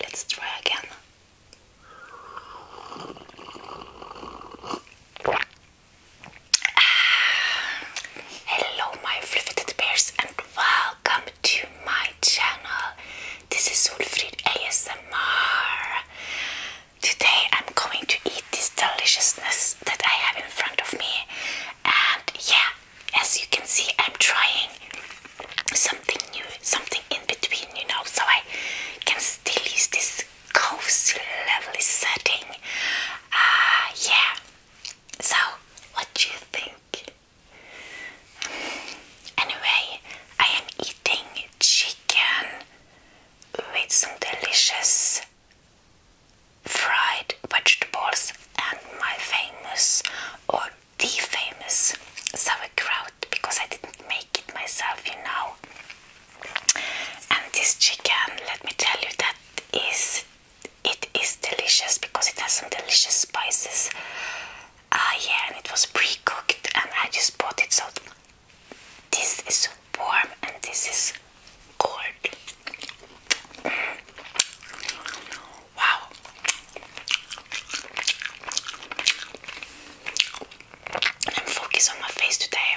Let's try again. Ah, hello, my fluffy bears, and welcome to my channel. This is Ulfrid ASMR. Today I'm going to eat this deliciousness that I have in front of me. And yeah, as you can see, I'm trying something new, something in between, you know, so I can still use this cozy, lovely setting. Ah, yeah. So, what do you think? Anyway, I am eating chicken with some delicious fried vegetables and my famous or the famous sauerkraut because I didn't make it myself, you know. And this chicken, let me tell you, that is it is delicious because it has some delicious spices Ah, yeah, and it was pre-cooked, and I just bought it. So this is warm, and this is cold. Wow. I'm focused on my face today,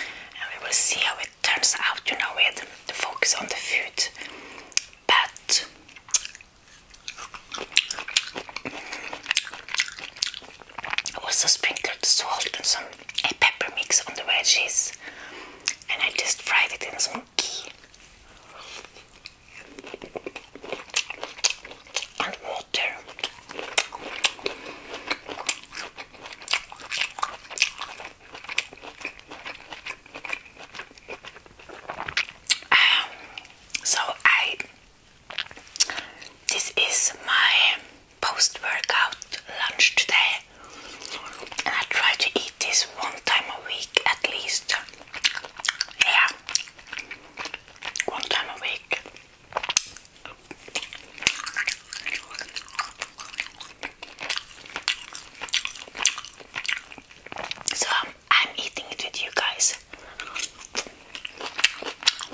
and we will see how it turns out. You know, with the focus on the food, but I Also sprinkled salt and some pepper mix on the veggies, and I just fried it in some ghee and water. Um, so I this is my post-workout lunch today and I try to eat this one time a week at least. Yeah. One time a week. So, I'm eating it with you guys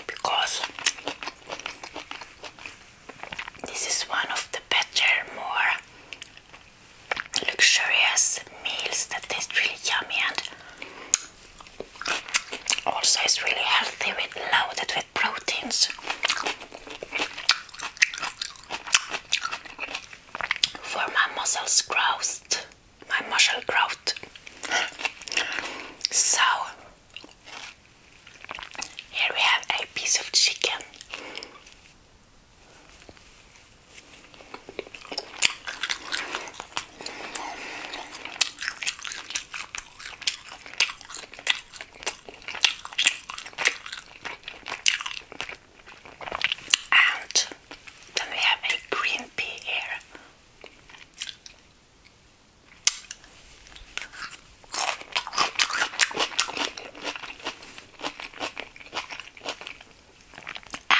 because this is one of the better, more luxurious meals that taste really yummy and also it's really healthy with loaded with proteins. For my muscles growth my muscle growth. so here we have a piece of chicken. And then we have a green pea here.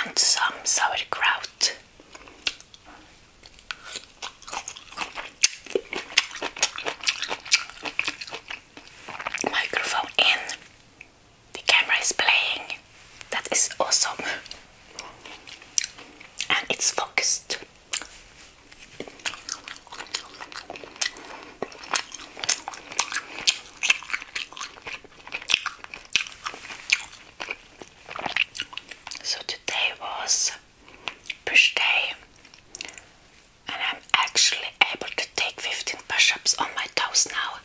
And some sauerkraut. Microphone in the camera is playing. That is awesome. And it's focused. So today was push day, and I'm actually able to take 15 push ups on my toes now.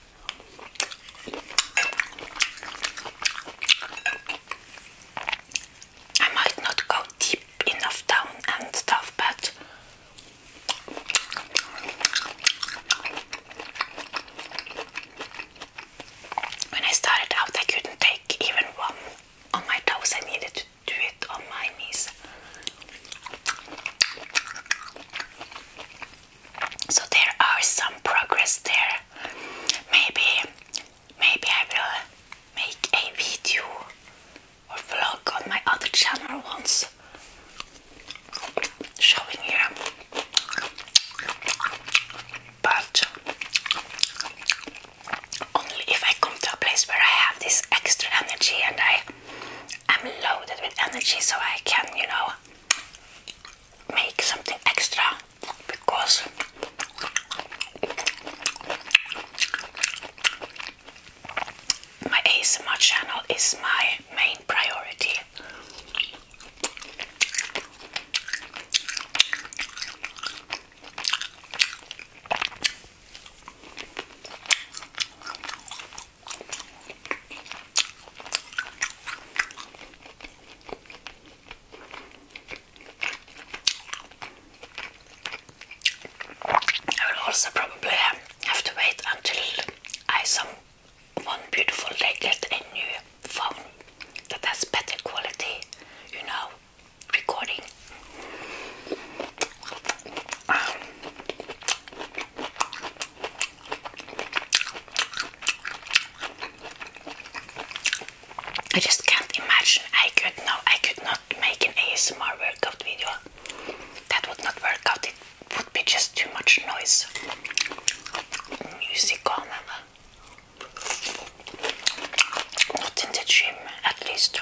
I might not go deep enough down and stuff, but when I started out, I couldn't take even one on my toes. I needed to do it on my knees. So there are some progress there. Maybe maybe I will make a video or vlog on my other channel once showing you. But only if I come to a place where I have this extra energy and I am loaded with energy so I can, you know, make something extra because my ASMR channel is my main priority. I will also probably have to wait until I some one beautiful day get a new phone that has better quality, you know, recording. I just can't imagine I could no I could not make an ASMR workout video. That would not work out. It would be just too much noise. Music on not in the gym at least.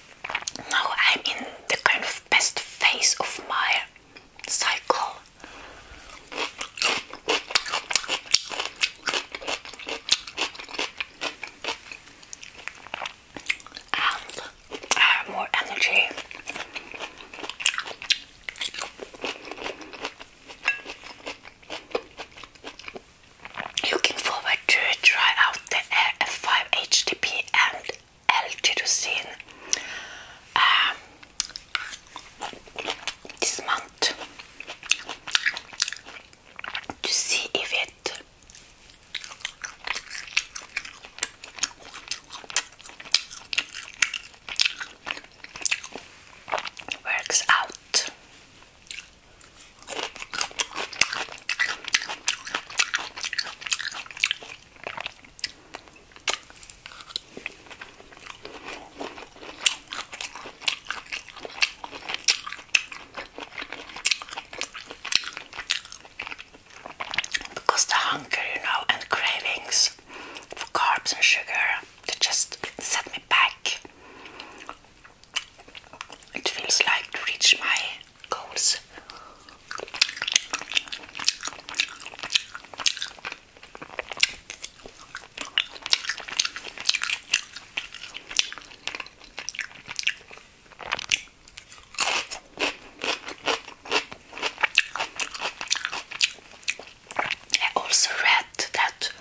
Now I'm in the kind of best phase of my cycle. And I uh, have more energy. Looking forward to try out the F5-HTP and L-tyrosine um, this month to see if it works out. Because the hunger, you know, and cravings for carbs and sugar, they just set me back. It feels like to reach my goes. also read that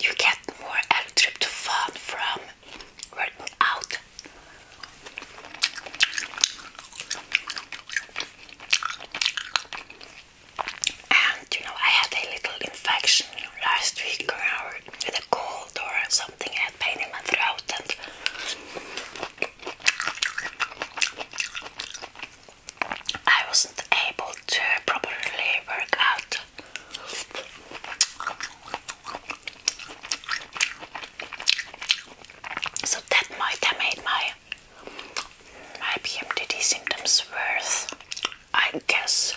you get more electric fun from were And you know, I had a little infection last week or with a cold or something. I had pain in my throat, and I wasn't able to properly work out. So that might have made my my PMDD symptoms worse, I guess.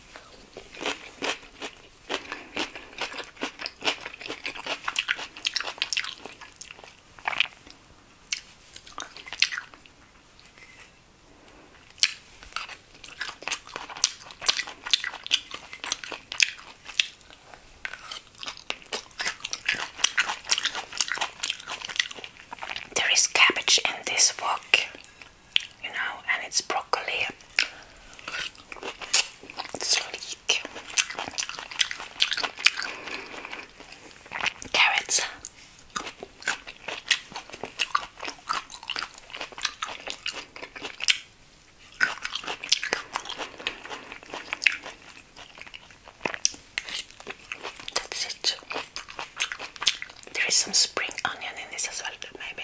There is cabbage in this wok, you know, and it's broccoli. It's Carrots. That's it. There is some spring onion in this as well, maybe.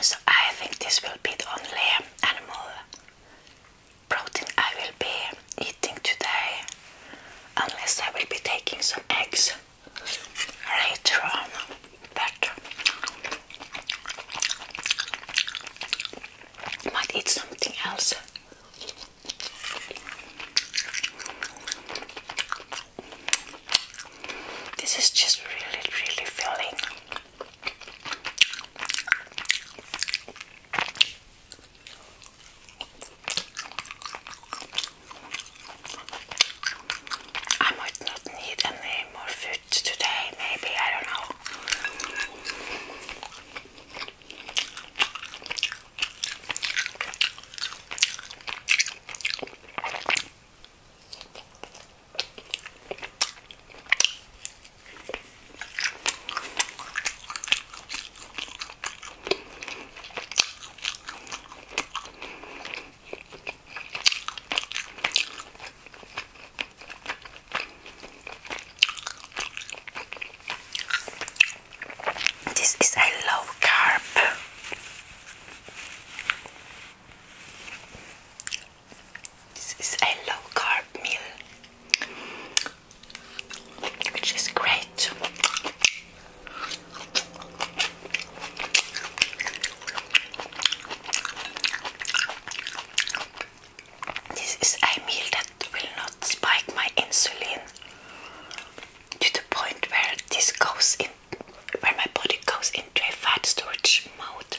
So I think this will be the only animal protein I will be eating today unless I will be taking some eggs later on but might eat something else. This is just really, really filling. I might not need any more food secrets today, maybe. I don't know. This is a low carb. This is a low carb meal, which is great. This is a meal that will not spike my insulin to the point where this goes in where my body goes into a fat storage mode.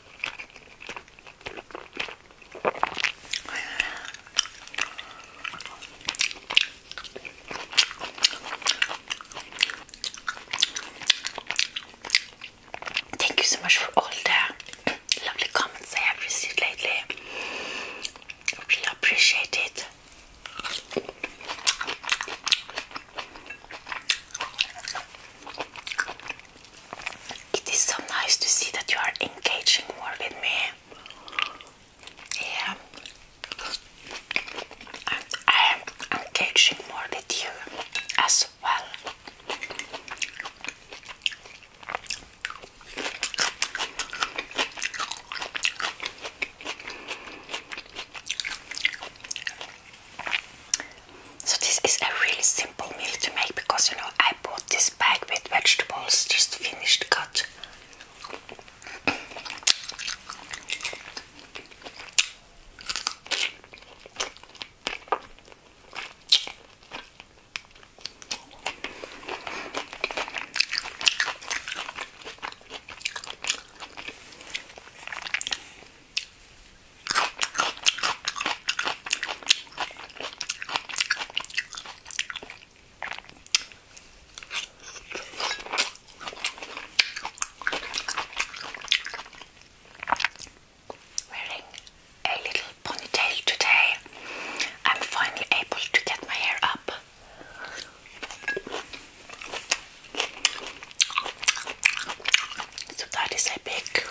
Thank you so much for all the lovely comments I have received lately. I really appreciate it. It is so nice to see that you are engaging more with me. Yeah. I am engaging more with you as well. So this is a really simple meal to make because you know I bought this bag with vegetables just finished cut. Wearing a little ponytail today, I'm finally able to get my hair up. So that is a big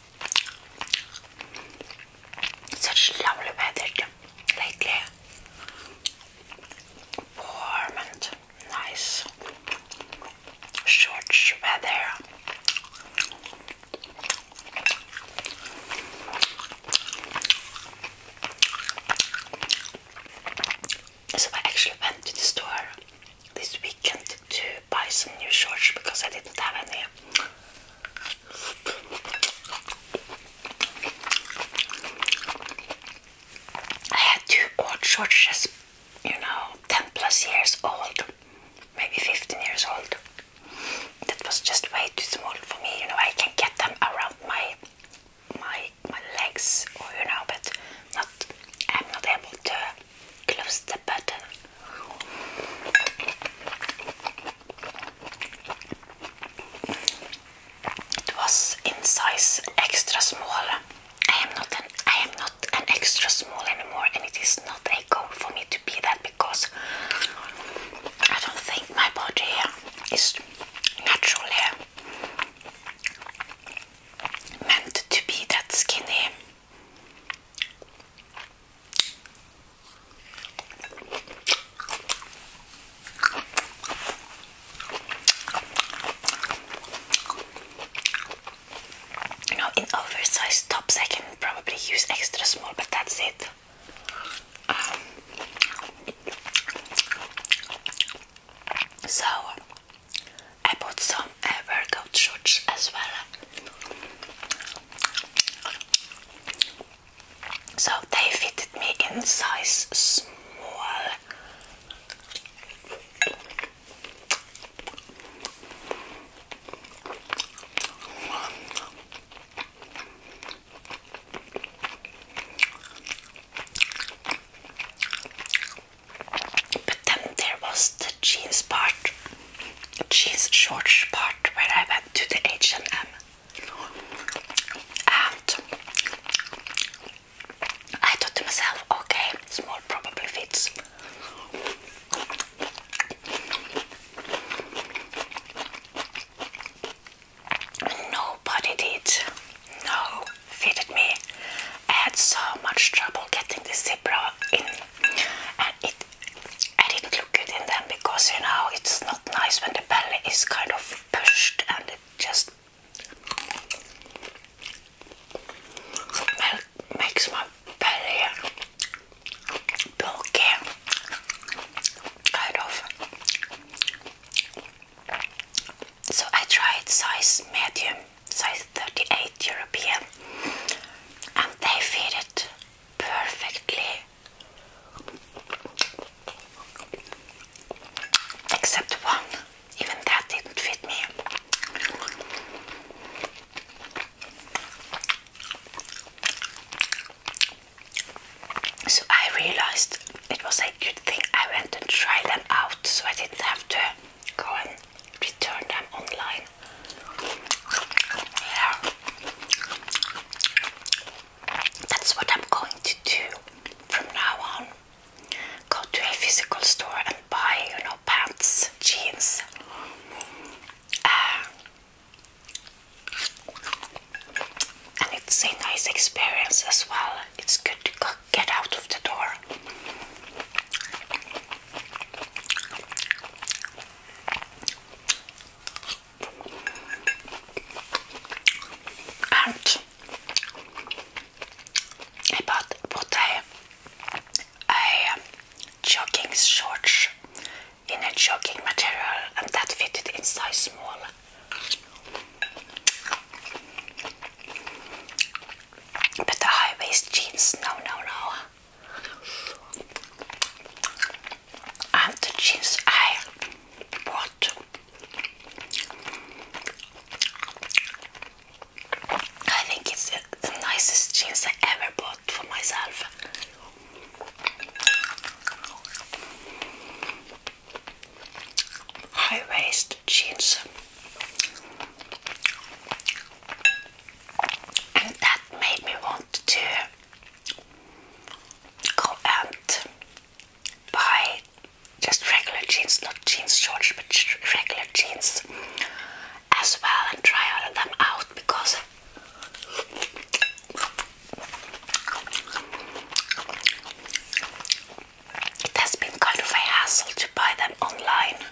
Such lovely weather lately. Warm and nice. Short weather. So I actually went to the store this weekend to buy some new shorts because I didn't have any I had two old just you know, 10 plus years old, maybe 15 years old. That was just way too small for me, you know. I can get them around my my my legs, or you know, but not. I'm not able to close the button. It was in size extra small. I am not an I am not an extra small anymore, and it is not a goal for me to be that because I don't think my body is naturally meant to be that skinny. You in oversized tops, I can probably use extra small, but that's it. Um, so, I bought some uh, shorts as well. So they fitted me in size small. But then there was the jeans part jeans shorts part where I went to the H&M and I thought to myself, okay, small probably fits. Nobody did. No, fitted me. I had so much trouble getting the zebra in, and it I didn't look good in them because you know it's not nice when the belly is kind of pushed and it just makes my belly bulky kind of so I tried size medium size 38 European and they fit it perfectly Except one, even that didn't fit me. So I realized it was a good thing I went and tried them out so I didn't have to go and return them online. That's what I'm going to do from now on. Go to a physical store and buy, you know, pants, jeans. Uh, and it's a nice experience as well. It's good to get out of the door and I bought bought a, a jogging shorts in a jogging material and that fitted in size small. But the high waist jeans, no, no, no and the jeans I bought I think it's the nicest jeans I ever bought for myself high-waist jeans and that made me want to go and buy just regular jeans, not jeans shorts, but regular jeans as well, and try all of them out because it has been kind of a hassle to buy them online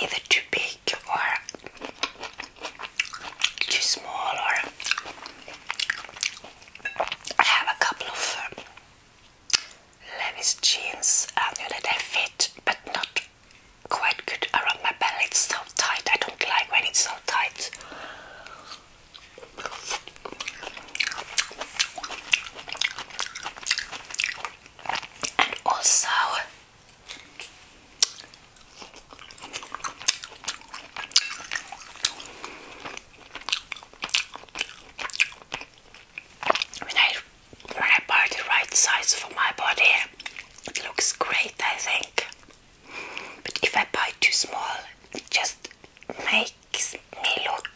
either too big or too small or I have a couple of um, Levi's jeans I um, know that they fit but not quite good around my belly. It's so tight. I don't like when it's so tight. And also when I when I buy the right size for my body, it looks great, I think. But if I buy too small, it just makes me look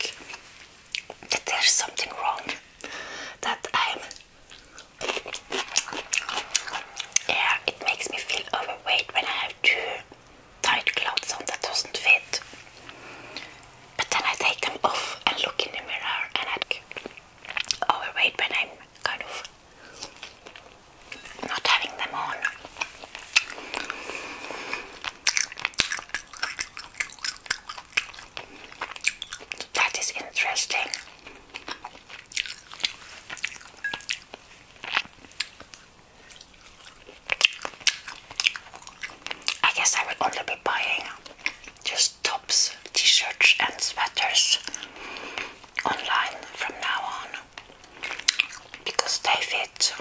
that there's something wrong. That I'm yeah, it makes me feel overweight when I have too tight clothes on that doesn't fit. But then I take them off and look in the mirror and I overweight when I'm kind of not having them on. That is interesting. I guess I will only be buying just tops, t-shirts and sweaters online from now on because they fit.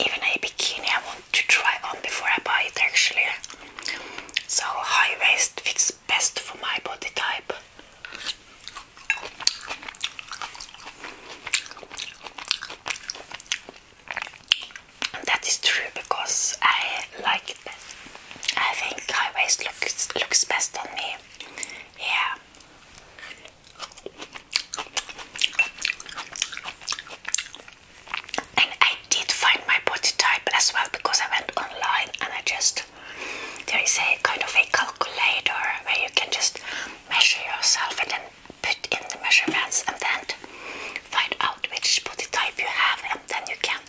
Even a bikini I want to try on before I buy it actually. So high waist fits best for my body type. that is true because I like it best. I think high waist looks looks best on me. Yeah. And I did find my body type as well because I went online and I just there is a kind of a calculator where you can just measure yourself and then put in the measurements and then find out which body type you have and then you can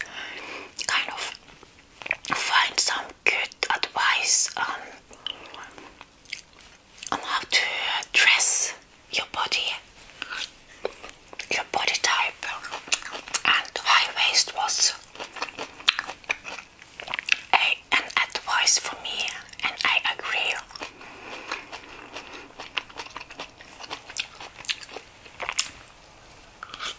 kind of find some good advice on on how to dress your body, your body type, and high waist was a, an advice for me, and I agree.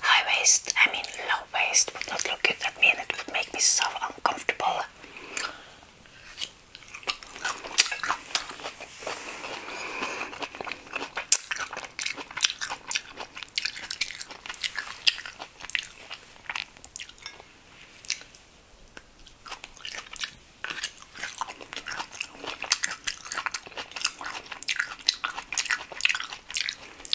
high waist, I mean low waist would not look good at me it would make me so uncomfortable.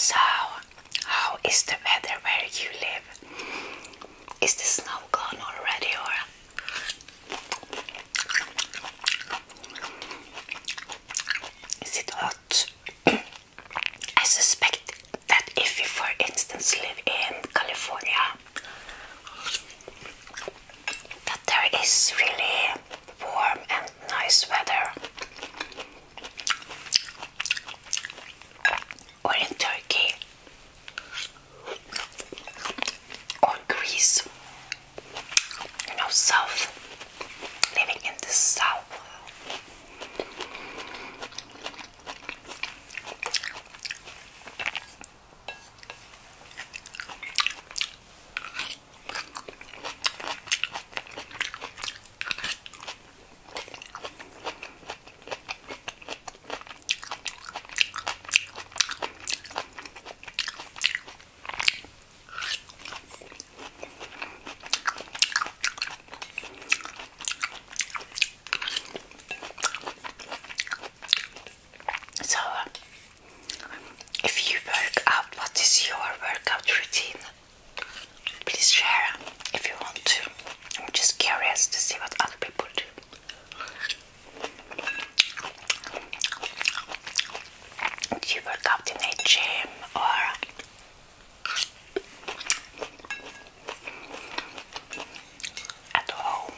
So, how is the weather where you live? Is the snow gone already or? Is it hot? I suspect that if you, for instance, live in California, that there is really warm and nice weather, or in Turkey, or Greece you know, south, living in the south. So, if you work out, what is your workout routine? Please share if you want to. I'm just curious to see what other people do. Did you work out in a gym or at home?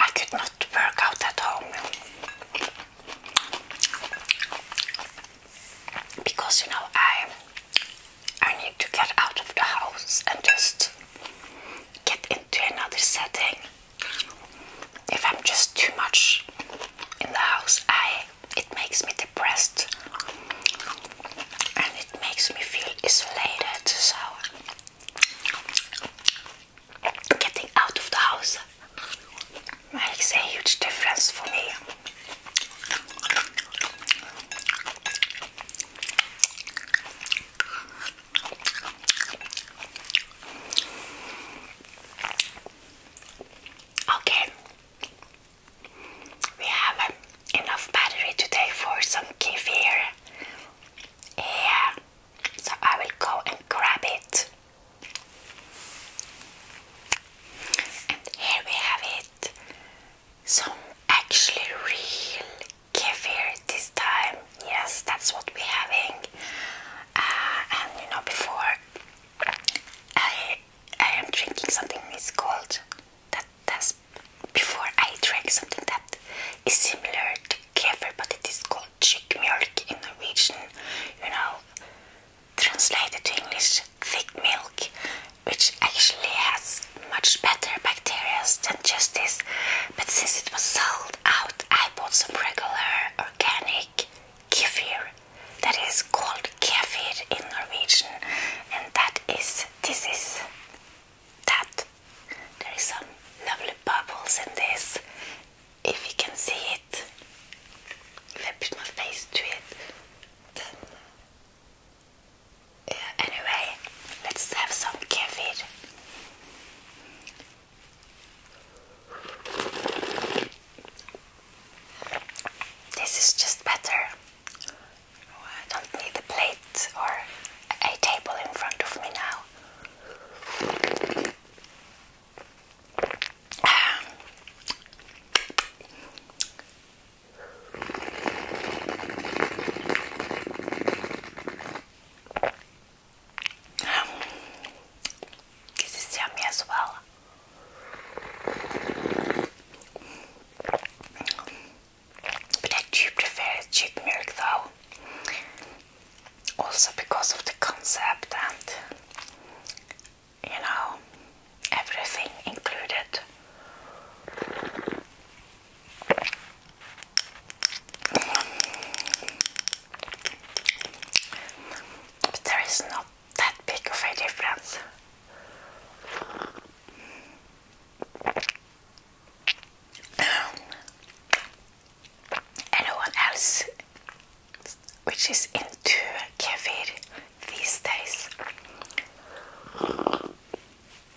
I could not work out at home because you know I I need to get out of the house and just get into another setting. If I'm just too much in the house, I it makes me depressed and it makes me feel isolated. So getting out of the house makes a huge difference for me. Okay, we have enough battery today for some kefir. Yeah, so I will go and grab it. And here we have it some actually real kefir this time. Yes, that's what we're having. Uh, and you know, before I I am drinking something it's called that that's before I drink something that is similar to kefir, but it is called chick milk in Norwegian. You know, translated to English, thick milk, which actually has much better bacteria than just this. But since it was sold out, I bought some regular organic kefir that is called kefir in Norwegian, and that is this is that. There is some lovely bubbles in this. If you can see it, if I put my face to it, then uh, anyway, let's have some caffeine. This is just better. Oh, I don't need a plate or a table in front of me now. Um, this is yummy as well. But I do prefer cheap milk though. Also because of the concept and you know everything included. But there is not that big of a difference. Anyone else which is into COVID these days?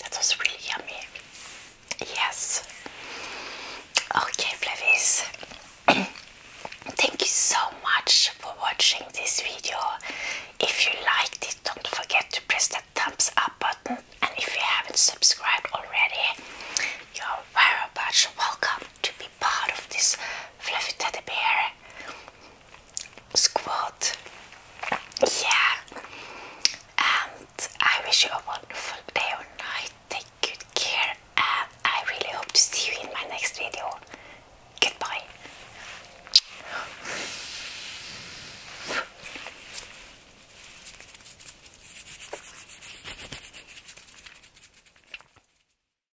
That was really yummy. Yes. Okay, Flavies. Thank you so much for watching this video. If you liked it, don't forget to press that thumbs up button. And if you haven't subscribed already, you're very much welcome to be part of this fluffy bear squat. Yeah. And I wish you a wonderful day or night. Take good care, and I really hope to see you in my next video. Goodbye.